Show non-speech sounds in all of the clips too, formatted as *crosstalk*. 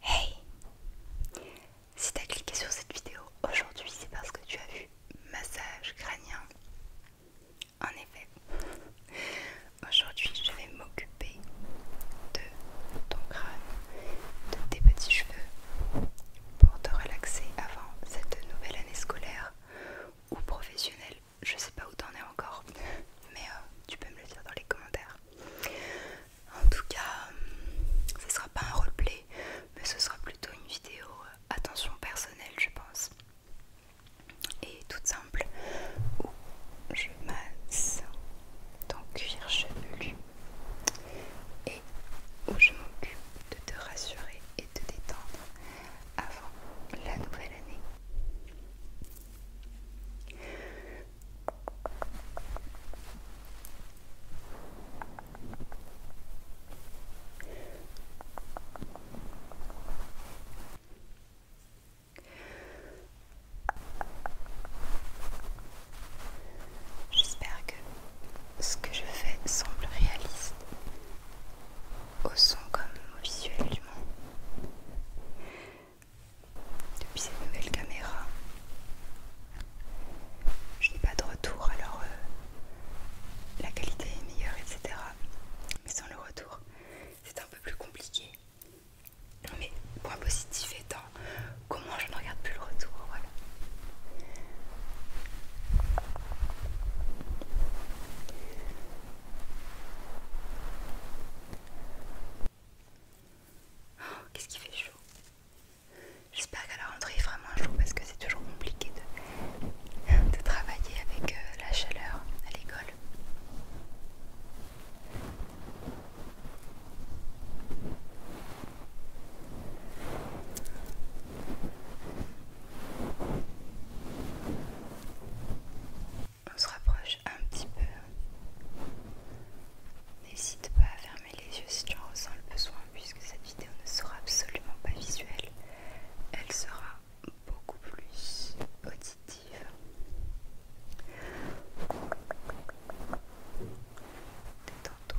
Hey Si t'as cliqué sur cette vidéo aujourd'hui, c'est parce que tu as vu massage crânien. En effet, aujourd'hui je vais m'occuper de ton crâne, de tes petits cheveux, pour te relaxer avant cette nouvelle année scolaire ou professionnelle. Je sais pas où t'en es encore, mais euh, tu peux me le dire dans les commentaires. En tout cas, euh, ce sera pas un roleplay, mais ce sera plutôt une vidéo euh, attention personnelle, je pense. Et toute simple, où je masse ton cuir chevelu et où je m'occupe de te rassurer de te détendre avant la nouvelle année. J'espère que ce que je fais semble réaliste, au son comme au visuellement. Depuis cette nouvelle caméra, je n'ai pas de retour, alors euh, la qualité est meilleure, etc. Mais sans le retour, c'est un peu plus compliqué. Mais point positif étant comment je regarde plus le retour, hein, voilà. Oh, qu'est-ce qui fait chaud J'espère qu'à la rentrée il moins chaud parce que c'est toujours compliqué de, de travailler avec euh, la chaleur à l'école. On se rapproche un petit peu. N'hésite pas à fermer les yeux si tu en ressens le besoin, puisque cette vidéo ne sera absolument pas visuelle. Elle sera beaucoup plus auditive. Détends-toi.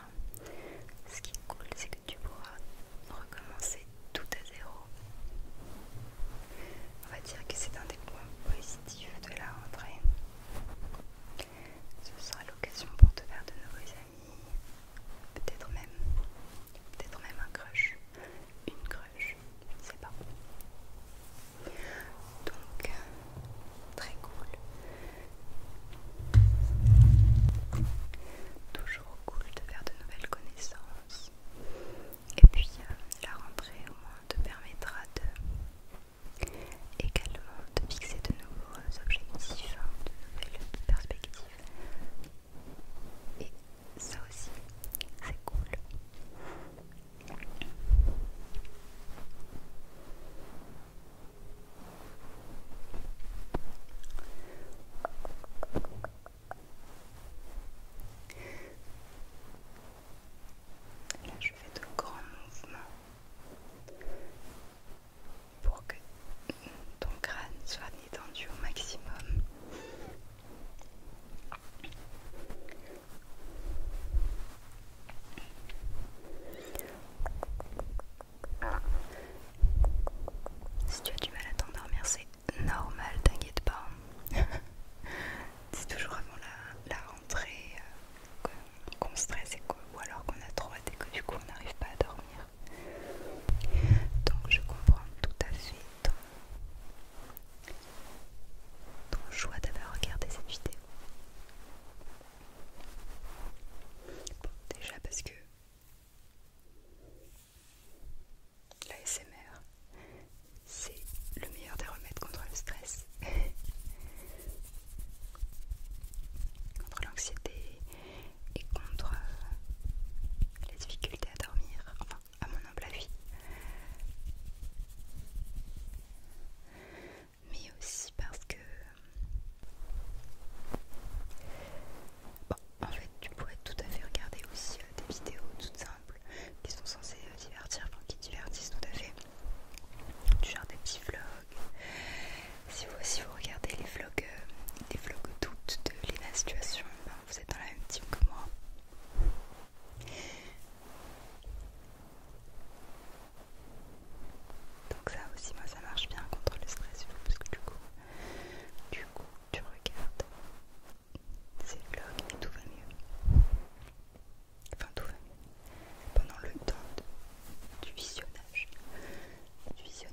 ben, ce qui est cool, c'est que tu pourras recommencer tout à zéro. On va dire que c'est un des points positifs de la rentrée. Ce sera l'occasion pour te faire de nouveaux amis, peut-être même, peut-être même un crush, une crush, je ne sais pas. Donc, très cool. Toujours cool de faire de nouvelles connaissances. Et puis euh, la rentrée au moins te permettra de également de fixer de nouveaux objectifs, hein, de nouvelles perspectives. Et ça aussi, c'est cool je fais de grands mouvements pour que ton crâne soit détendu au maximum. Si tu as du mal à t'endormir, c'est normal, t'inquiète pas. c'est *laughs* toujours avant la, rentrée euh, qu'on stresse ou alors qu'on a trop hâte et que du coup on n'arrive pas à dormir. Donc je comprends tout à fait ton, ton choix d'avoir regardé cette vidéo. Bon, déjà parce que l'ASMR, c'est le meilleur des remèdes contre le stress, *laughs* contre l'anxiété et contre les difficultés à dormir, enfin à mon humble avis mais aussi parce que bon, en fait tu pourrais tout à fait regarder aussi euh, des vidéos toutes simples qui sont censées euh, divertir, enfin qui divertissent tout à fait, du genre des petits vlogs. Si vous, vous regardez les vlogs, euh, d'août vlogs de les Situation, ben, vous êtes dans la même team que moi. Donc ça aussi, moi ça marche bien contre le stress, parce que du coup, du coup, tu regardes ces vlogs et tout va mieux. Enfin, tout va mieux. Pendant le temps du visionnage, du visionnement.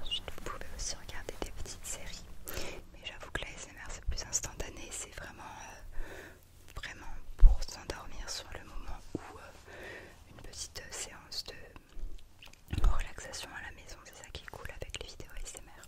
Ensuite, vous pouvez aussi regarder des petites séries, mais j'avoue que la SMR c'est plus instantané, c'est vraiment, euh, vraiment pour s'endormir sur le moment où euh, une petite séance de relaxation à la maison, c'est ça qui coule avec les vidéos ASMR.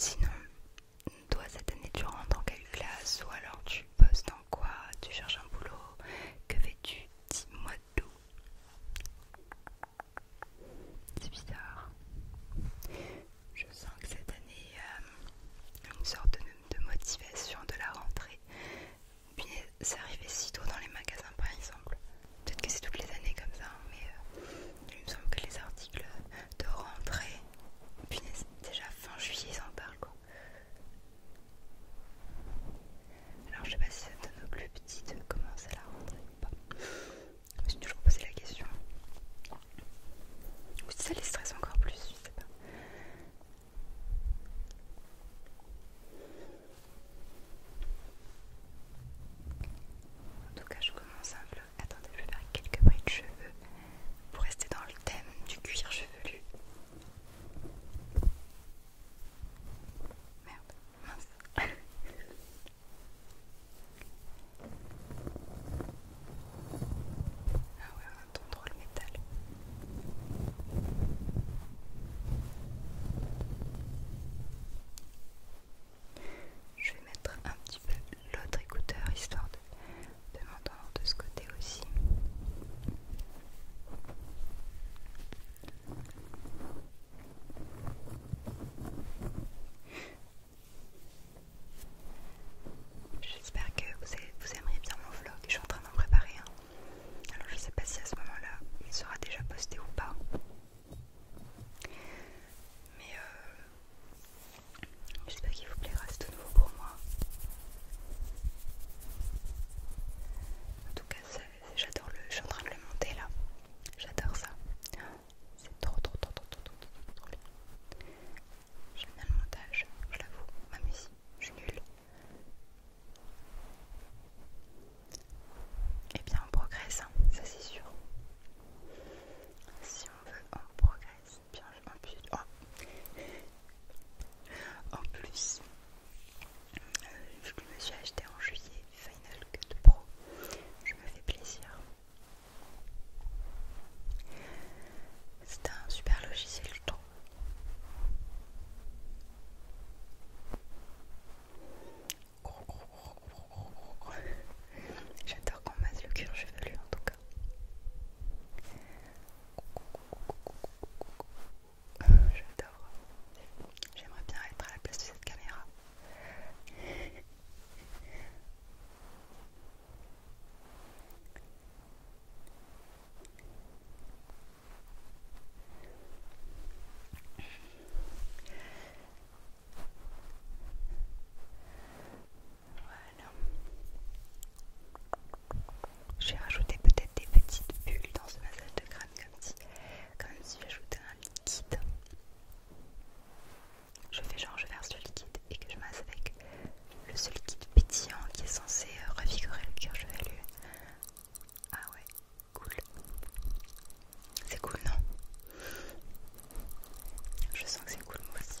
Sinon, toi cette année tu rentres en quelle classe ou alors tu bosses dans quoi Tu cherches un boulot Que fais-tu Dis-moi tout. C'est bizarre. Je sens que cette année, a euh, une sorte de, motivation de la rentrée. Ça c'est arrivé si tôt dans les magasins par exemple. Peut-être que c'est toutes les années comme ça, mais euh, il me semble que les articles de rentrée, déjà fin juillet, ils en parlent Alors je sais pas si ça donne au plus petit de commencer la rentrée ou pas. Je me suis toujours posé la question. Ou ça les stresse encore plus, je sais pas. En tout cas, je commence un vlog. Attendez, je vais faire quelques bris de cheveux pour rester dans le thème du cuir chevelu. Merde, ah ouais, on entend le métal. Je vais mettre un petit peu l'autre écouteur histoire de, de m'entendre de ce côté aussi. J'espère que vous, aimeriez bien mon vlog. Je suis en train d'en préparer un. Alors je sais pas si à ce moment-là il sera déjà posté ou pas. Mais euh, j'espère qu'il vous plaira, c'est tout nouveau pour moi. En tout cas, j'adore le. Je suis en train de le monter là. J'adore ça. C'est trop trop trop trop trop trop trop trop bien. J'aime bien le montage, je l'avoue, même si je suis nulle. Eh bien on progresse, hein, ça c'est sûr. Si on veut, on progresse. Bien, en plus, oh. en plus, euh, je me suis acheté en juillet Final Cut Pro. Je me fais plaisir. C'est un super logiciel, je trouve. J'adore qu'on masse le cuir chevelu en tout cas. J'adore. J'aimerais bien être à la place de cette caméra. J'ai rajouté peut-être des petites bulles dans ce massage de crâne comme si comme si j'ajoutais un liquide. Je fais genre je verse le liquide et que je masse avec le ce liquide pétillant qui est censé euh, revigorer le cuir chevelu. Ah ouais, cool. C'est cool non Je sens que c'est cool moi aussi.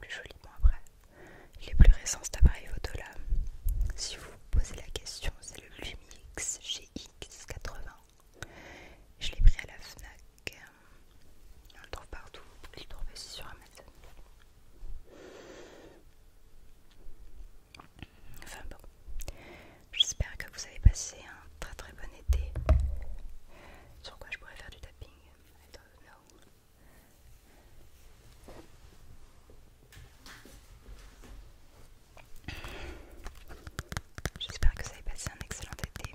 plus joli moi après. Il est plus récent cet appareil photo là. Si vous vous posez la question, c'est le Lumix GX80. Je l'ai pris à la Fnac. On le trouve partout. Vous pouvez le sur Amazon. Enfin bon, j'espère que vous avez passé un très très bon été. Sur quoi je pourrais faire du tapping I don't J'espère que ça a passé un excellent été.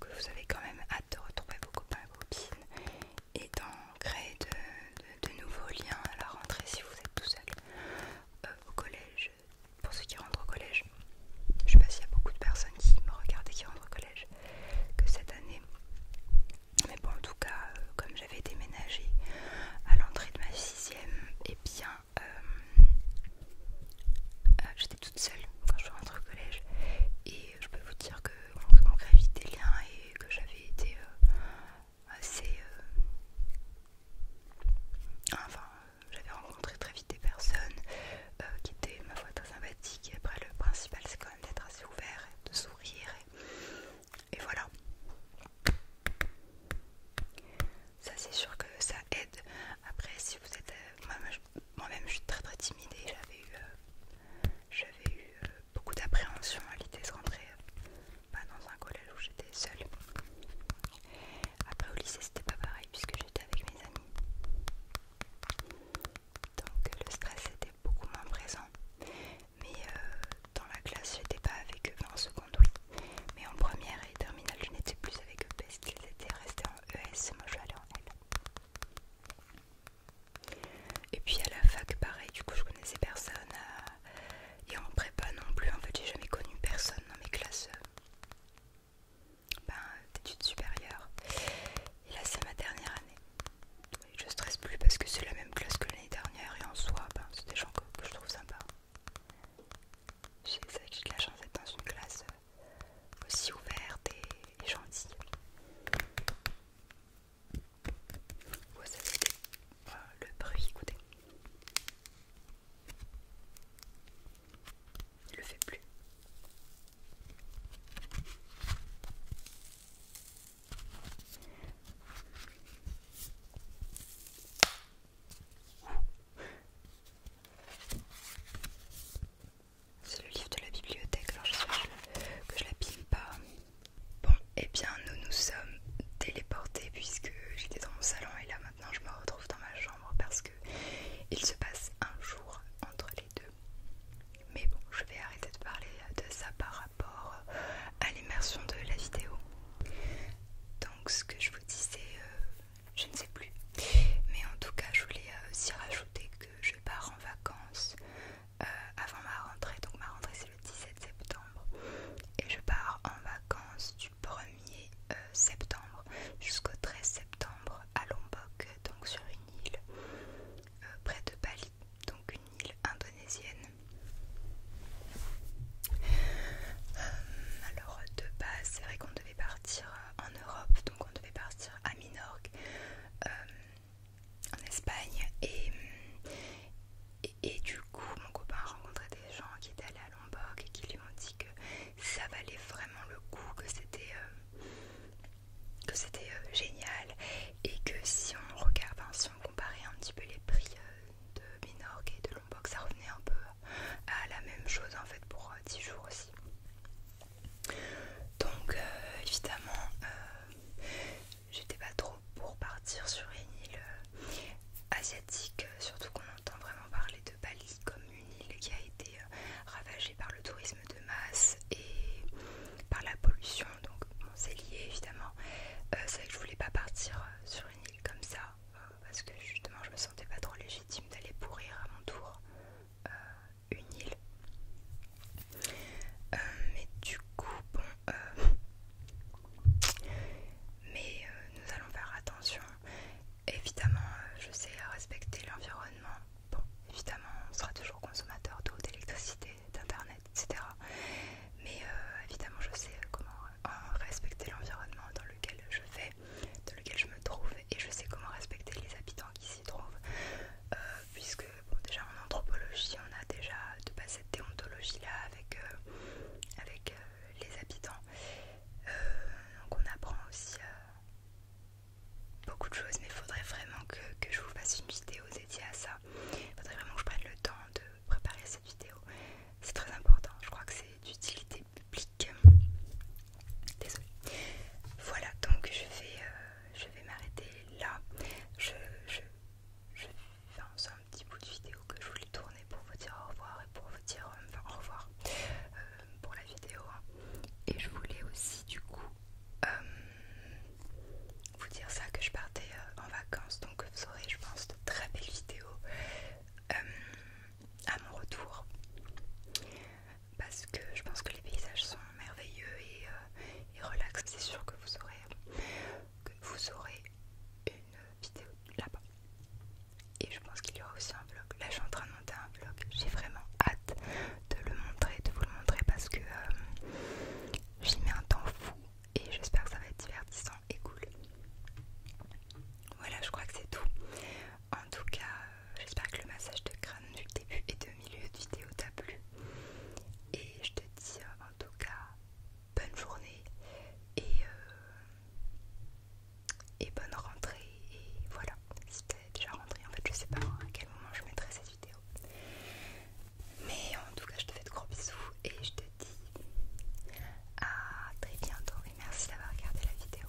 Que vous avez quand même hâte de retrouver vos copains et vos copines et dans créer de, nouveaux liens à la rentrée si vous êtes tout seul euh, au collège. Pour ceux qui rentrent au collège, je sais pas s'il y a beaucoup de personnes qui me regardent et qui rentrent au collège que cette année. Mais bon, en tout cas, euh, comme j'avais déménagé à l'entrée de ma sixième, et eh bien euh, j'étais toute seule quand je rentre au collège. Et et je peux vous dire que j'ai manqué vite des liens et que j'avais été euh, assez euh, enfin euh, j'avais rencontré très vite des personnes qui étaient ma foi très sympathiques et après le principal c'est quand même d'être assez ouvert de sourire et, voilà ça c'est sûr que ça aide après si vous êtes moi-même je suis très très timide j'avais eu j'avais eu euh, beaucoup d'appréhension à l'idée de rentrer euh, bah, dans un collège où j'étais seule. Après au lycée c'était pas pareil puisque j'étais avec mes amis. Donc le stress était beaucoup moins présent. Mais euh, dans la classe j'étais pas avec eux, en seconde oui. Mais en première et terminale je n'étais plus avec eux parce qu'ils étaient restés en ES, moi je suis allée en L. Et puis à la fac, pareil, du coup, je connaissais personne. Euh, et en prépa non plus, en fait, j'ai jamais connu personne dans mes classes euh, ben, d'études supérieures. Et là, c'est ma dernière année. je stresse plus parce que c'est la même classe que l'année dernière. Et en soi, ben, c'est des gens que, je trouve sympas. C'est vrai que j'ai de la chance d'être dans une classe euh, aussi ouverte et gentille. Vous le bruit, écoutez. Il le fait plus. C'est le livre de la bibliothèque, alors j'espère que je la pile pas. Bon, et eh bien nous nous sommes téléportés puisque j'étais dans mon salon et là maintenant je me retrouve dans ma chambre parce que il se passe un jour entre les deux. Mais bon, je vais arrêter de parler de ça par rapport à l'immersion de la vidéo. Donc ce que je vous disais, euh, je ne sais plus. Mais en tout cas, je voulais euh, aussi rajouter que je pars en vacances euh, avant ma rentrée. Donc ma rentrée c'est le 17 septembre. Et je pars en vacances du 1er euh, septembre jusqu'au 13 septembre à Lombok, donc sur une île euh, près de Bali, donc une île indonésienne. alors de base c'est vrai qu'on devait partir en Europe, donc on devait partir à Minorque en Espagne et, du coup mon copain a rencontré des gens qui étaient allés à Lombok et qui lui ont dit que ça valait vraiment le coup, que c'était euh, que c'était euh, génial et que si on regarde, si on comparait un petit peu les prix euh, de Minorque et de Lombok, ça revenait un peu à la même chose en fait pour 10 jours aussi. Donc euh, évidemment, euh, j'étais pas trop pour partir sur une île euh, asiatique, surtout qu'on entend vraiment parler de Bali comme une île qui a été ravagée par le tourisme de masse et par la pollution. Donc c'est lié évidemment. c'est vrai que je voulais pas partir sur une île comme ça parce que justement je me sentais pas trop légitime d'aller pourrir à mon tour une île. Euh, mais du coup, bon, euh, mais euh, nous allons faire attention. Évidemment, je sais respecter l'environnement. Bon, évidemment, on sera toujours consommateur d'eau, d'électricité, d'internet, etc. Mais évidemment, je sais comment respecter l'environnement dans lequel je vais, dans lequel je me trouve, et je sais comment respecter les habitants qui trouve, euh, puisque déjà en anthropologie, on a déjà de passer cette déontologie là avec, euh, avec euh, les habitants. donc on apprend aussi beaucoup de choses, mais il faudrait vraiment que, je vous fasse une vidéo dédiée à ça. Il faudrait vraiment que je prenne le temps de préparer cette vidéo. C'est très important, je crois que c'est d'utilité publique. Désolée. Voilà, donc je vais, euh, je vais m'arrêter là. Je, c'est un petit bout de vidéo que je voulais tourner pour vous dire au revoir et pour vous dire euh, au revoir euh, pour la vidéo. Hein. Et je voulais aussi du coup vous dire ça que je partais en vacances, donc vous aurez je pense de très belles vidéos à mon retour parce que je pense que les paysages sont merveilleux et, euh, C'est sûr que vous aurez, que vous aurez une vidéo là-bas. Et je pense qu'il y aura aussi un vlog. Là, je suis en train de monter un vlog. J'ai vraiment hâte de le montrer, de vous le montrer parce que euh, j'y mets un temps fou et j'espère que ça va être divertissant et cool. Voilà, je crois que c'est tout. En tout cas, euh, j'espère que le massage de crâne du début et de milieu de vidéo t'a plu. Et je te dis euh, en tout cas bonne journée et, euh, et bonne rentrée. Et voilà, si t'es déjà rentré en fait, je sais pas hein, à quel moment je mettrai cette vidéo. Mais en tout cas, je te fais de gros bisous et je te dis à très bientôt. Et merci d'avoir regardé la vidéo.